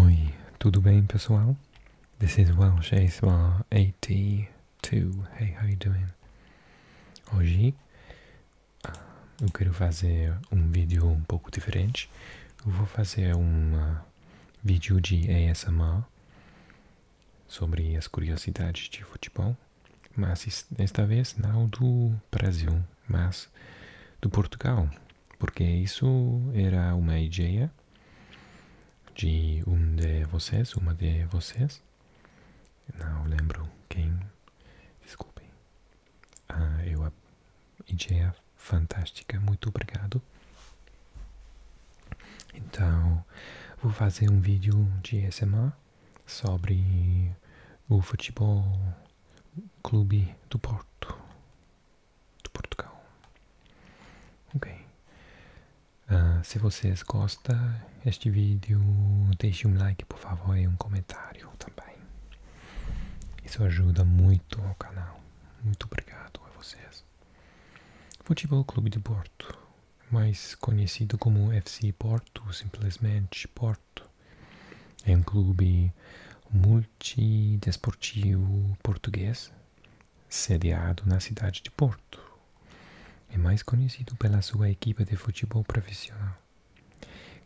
Oi, tudo bem pessoal? This is Welsh ASMR 82. Hey, how you doing? Hoje ah, eu quero fazer um vídeo um pouco diferente. Eu vou fazer um ah, vídeo de ASMR sobre as curiosidades de futebol, mas esta vez não do Brasil, mas do Portugal, porque isso era uma ideia de um de vocês, uma de vocês, não lembro quem, desculpe Ah, eu a ideia fantástica, muito obrigado. Então, vou fazer um vídeo de SMA sobre o futebol clube do Porto de Portugal. Ok. Ah, se vocês gostam deste vídeo, deixe um like, por favor, e um comentário também. Isso ajuda muito ao canal. Muito obrigado a vocês. Futebol Clube de Porto, mais conhecido como FC Porto, simplesmente Porto, é um clube multi Norte Desportivo Português, sediado na cidade de Porto. É mais conhecido pela sua equipe de futebol profissional,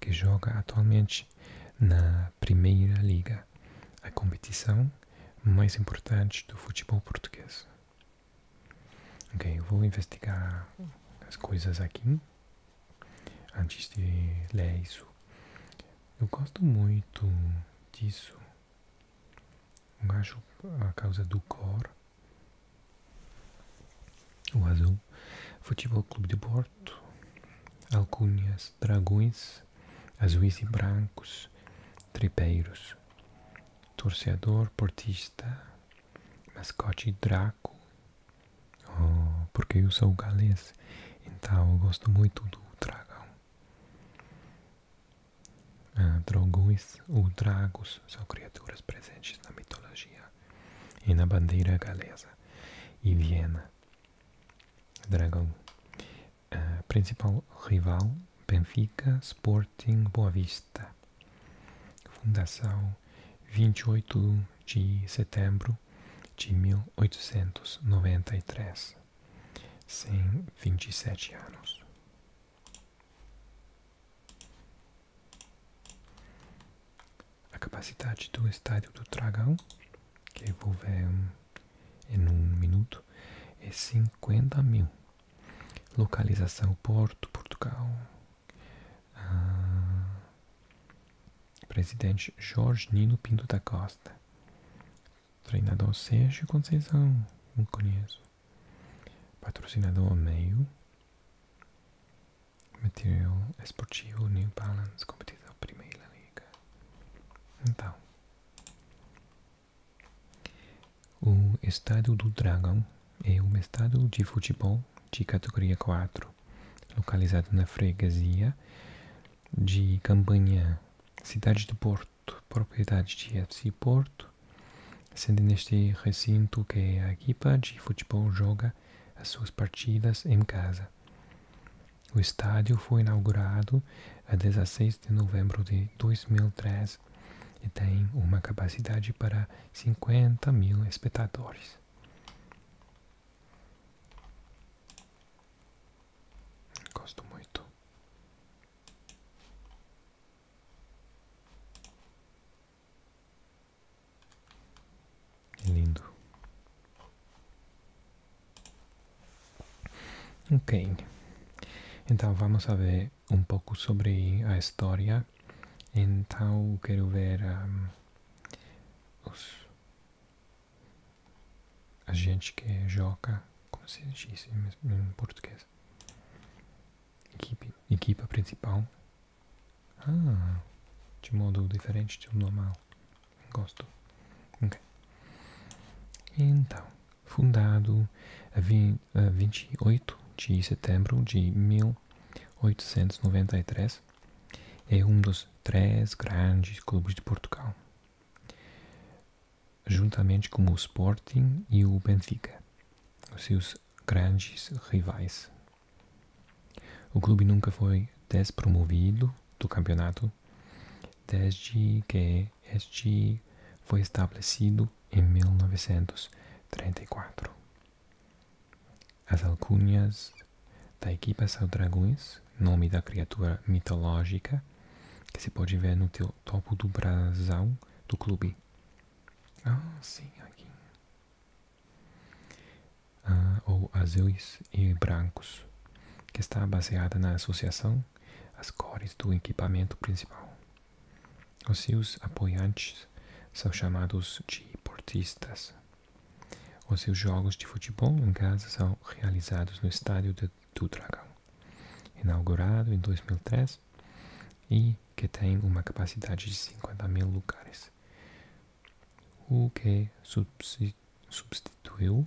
que joga atualmente na Primeira Liga, a competição mais importante do futebol português. Ok, eu vou investigar as coisas aqui antes de ler isso. Eu gosto muito disso. Eu acho a causa do cor, o azul, Futebol Clube de Porto, alcunhas, dragões, azuis e brancos, tripeiros, torcedor, portista, mascote, draco, Oh, porque eu sou galês, então eu gosto muito do dragão. Ah, ou dragos são criaturas presentes na mitologia e na bandeira galesa e Viena. Dragão. Ah, principal rival, Benfica Sporting Boa Vista. Fundação 28 de setembro de mil oitocentos noventa e três, cem vinte e sete anos. A capacidade do estádio do Dragão, que vou ver em um minuto, é cinquenta mil. Localização Porto, Portugal. Ah, Presidente Jorge Nino Pinto da Costa. Treinador Sérgio Conceição, não conheço. Patrocinador Meio. Material esportivo New Balance, competição Primeira Liga. Então, o Estádio do Dragão é um estádio de futebol de categoria 4 localizado na freguesia de Campanhã, cidade do Porto, propriedade de FC Porto, sendo neste recinto que a equipa de futebol joga as suas partidas em casa. O estádio foi inaugurado a 16 de novembro de 2013 e tem uma capacidade para 50 mil espectadores. Gosto muito. É lindo. Ok. Então vamos a ver um pouco sobre a história. Então quero ver os a gente que é joga, como se diz em português? Equipe, equipa principal. Ah, de modo diferente do normal. Gosto. Então, fundado a 20, a 28 de setembro de 1893 é um dos três grandes clubes de Portugal, juntamente com o Sporting e o Benfica, seus grandes rivais. O clube nunca foi despromovido do campeonato desde que este foi estabelecido em 1934. As alcunhas da equipa são dragões, nome da criatura mitológica que se pode ver no topo do brasão do clube. Ah, sim, aqui. Ah, ou azuis e brancos, que está baseada na associação às cores do equipamento principal. Os seus apoiantes são chamados de portistas. Os seus jogos de futebol em casa são realizados no estádio de, do Dragão, inaugurado em 2003 e que tem uma capacidade de 50 mil lugares, o que substituiu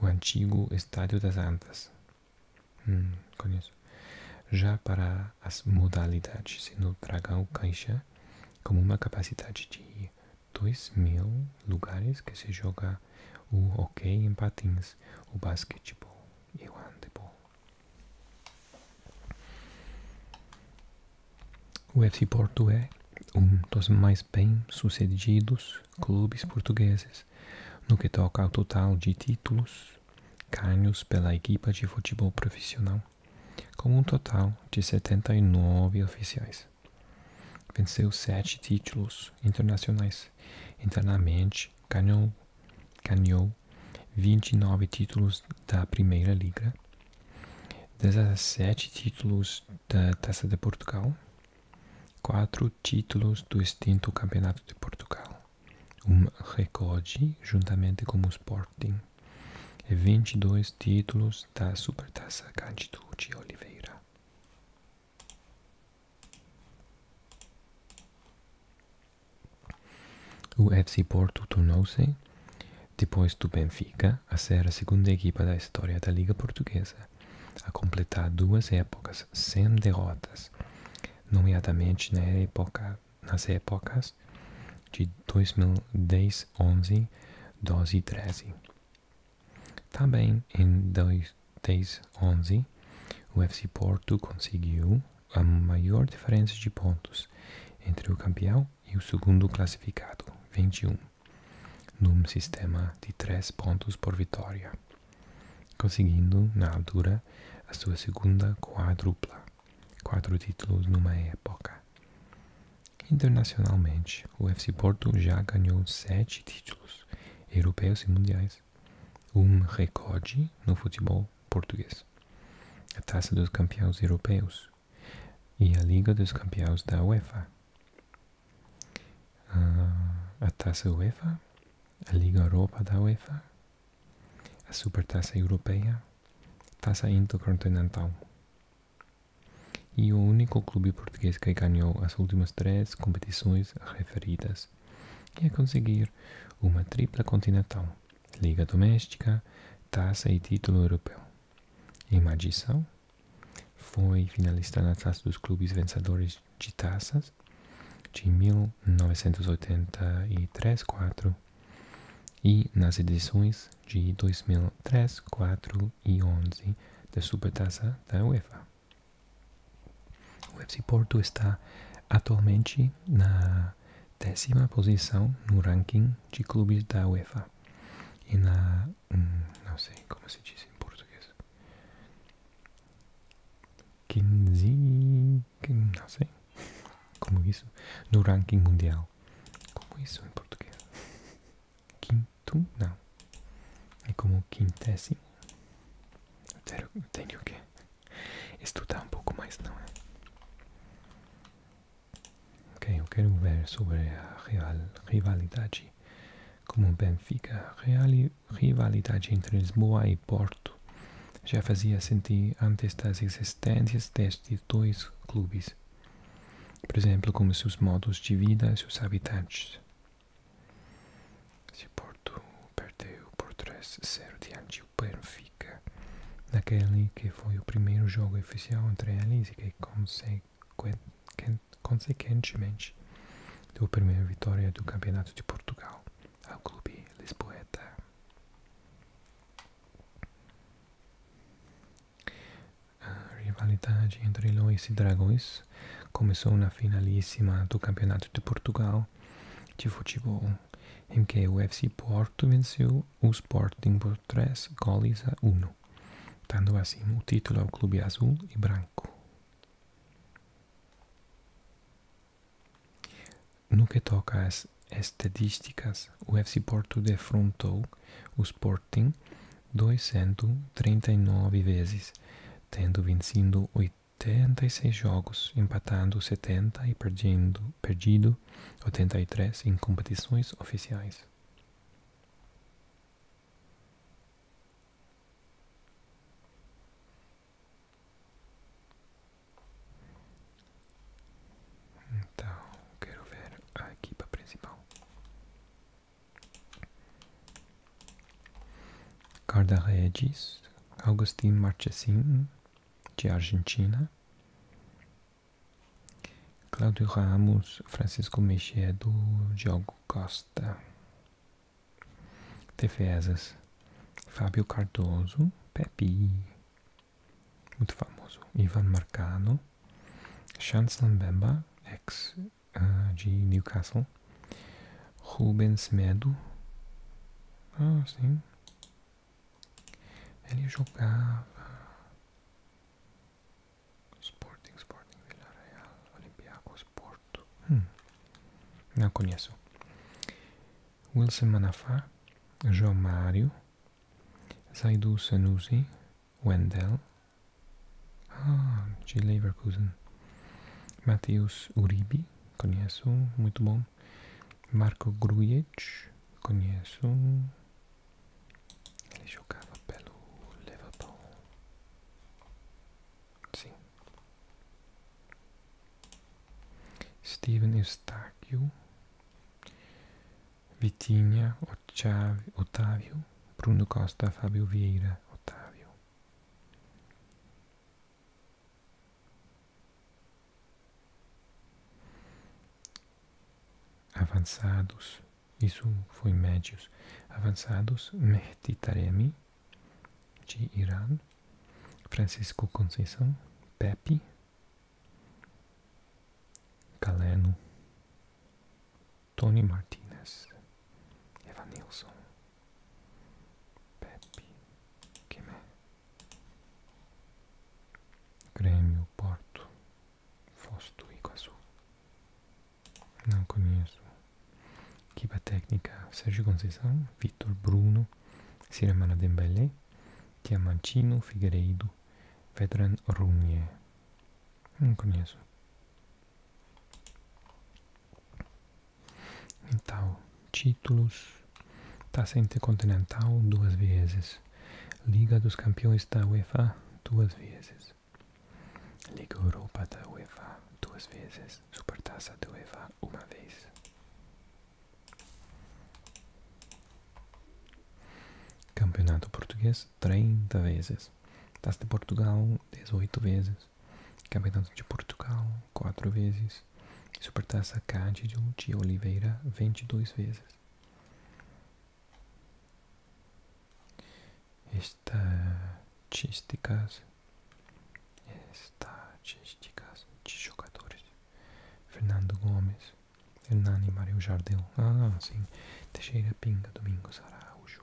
o antigo Estádio das Antas. Hum, Já para as modalidades no Dragão Caixa, com uma capacidade de 2 mil lugares que se joga o hockey em patins, o basquetebol e o handebol. O FC Porto é um dos mais bem sucedidos clubes portugueses no que toca ao total de títulos ganhos pela equipa de futebol profissional, com um total de 79 oficiais. Venceu sete títulos internacionais. Internamente, ganhou, ganhou 29 títulos da Primeira Liga, 17 títulos da Taça de Portugal, 4 títulos do extinto Campeonato de Portugal, um recorde juntamente com o Sporting, e 22 títulos da Supertaça Cândido de Oliveira. O FC Porto tornou-se, depois do Benfica, a ser a segunda equipa da história da Liga Portuguesa a completar duas épocas sem derrotas, nomeadamente nas épocas de 2010, 11, 12 e 13. Também em 2011, o FC Porto conseguiu a maior diferença de pontos entre o campeão e o segundo classificado, 21, num sistema de três pontos por vitória, conseguindo, na altura, a sua segunda quadrupla, quatro títulos numa época. Internacionalmente, o FC Porto já ganhou sete títulos europeus e mundiais, um recorde no futebol português. A Taça dos Campeões Europeus e a Liga dos Campeões da UEFA. Ah, a Taça UEFA, a Liga Europa da UEFA, a Supertaça Europeia, Taça Intercontinental e o único clube português que ganhou as últimas três competições referidas é conseguir uma tripla continental, Liga Doméstica, Taça e título europeu. Em Magição, foi finalista na Taça dos Clubes Vencedores de Taças de 1983-4 e nas edições de 2003, 4 e 11 da Supertaça da UEFA. O FC Porto está atualmente na décima posição no ranking de clubes da UEFA e na hum, não sei como se diz em português 15 não sei como isso no ranking mundial como isso em português quinto, não. É como quintésimo. tenho, que estudar um pouco mais, não é? Ok, eu quero ver sobre a real, rivalidade. Como Benfica, real, rivalidade entre Lisboa e Porto já fazia sentir antes das existências destes dois clubes. Por exemplo, como seus modos de vida, seus habitantes. Se Porto perdeu por 3-0 diante do fica. naquele que foi o primeiro jogo oficial entre eles e que consequentemente deu a primeira vitória do Campeonato de Portugal ao clube Lisboeta. A rivalidade entre leões e dragões começou na finalíssima do Campeonato de Portugal de futebol, em que o UFC Porto venceu o Sporting por 3 goles a 1, dando assim o título ao clube azul e branco. No que toca às estatísticas, o UFC Porto defrontou o Sporting nove vezes, tendo vencido oitenta e seis jogos, empatando setenta e perdendo, perdido três em competições oficiais. Então, quero ver a equipa principal. Carda Regis, Augustin Marchesin, de Argentina, Claudio Ramos, Francisco Mexedo, Diogo Costa, Tefezas, Fábio Cardoso, Pepe, muito famoso, Ivan Marcano, Chancellor Bemba, ex ah, de Newcastle. Rubens Medo. Ah, sim. Ele jogava. Sporting, Sporting, Villarreal, Olympiacos, Porto. Hum. Não conheço. Wilson Manafá, João Mario, Zaidu Sanusi, Wendel, ah, de Leverkusen. Matheus Uribe, conheço, muito bom. Marco Grujic, conheço. Ele jogava pelo Liverpool. Sim. Steven Eustáquio. Vitinha Otávio Bruno Costa, Fábio Vieira, Otávio. Avançados, isso foi médios. Avançados, Mehdi Taremi, de Irã. Francisco Conceição, Pepe, Galeno, Tony Martinez, Evanilson, Pepe, Quemé, Grêmio, Porto, Foz do Iguaçu. Não conheço. Equipa técnica, Sérgio Conceição, Vitor Bruno, Ciramana Dembélé, Diamantino, Figueiredo, Vedran Runye. Não conheço. Então, títulos da Intercontinental duas vezes. Liga dos Campeões da UEFA duas vezes. Liga Europa da UEFA duas vezes. Supertaça da UEFA uma vez. Campeonato Português 30 vezes vezes, de Portugal 18 vezes, Campeonato de Portugal 4 vezes, Supertaça Cândido de Oliveira 22 vezes. Estatísticas, estatísticas de jogadores. Fernando Gomes, Hernani Mario Jardel, ah sim, Teixeira Pinga, Domingos Araújo,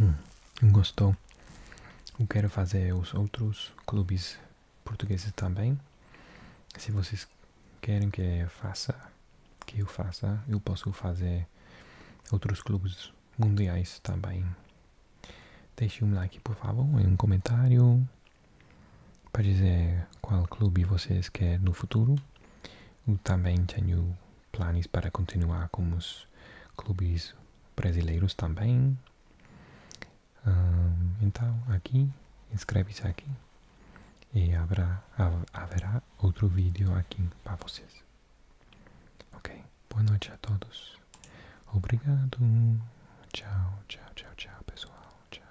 Hum, gostou? Eu quero fazer os outros clubes portugueses também. Se vocês querem que eu faça, que eu faça, eu posso fazer outros clubes mundiais também. Deixe um like, por favor, um comentário para dizer qual clube vocês querem no futuro também tenho planos para continuar com os clubes brasileiros também. então, aqui, inscreve-se aqui e haverá, outro vídeo aqui para vocês. Ok? Boa noite a todos. Obrigado. Tchau, tchau, tchau, tchau, pessoal. tchau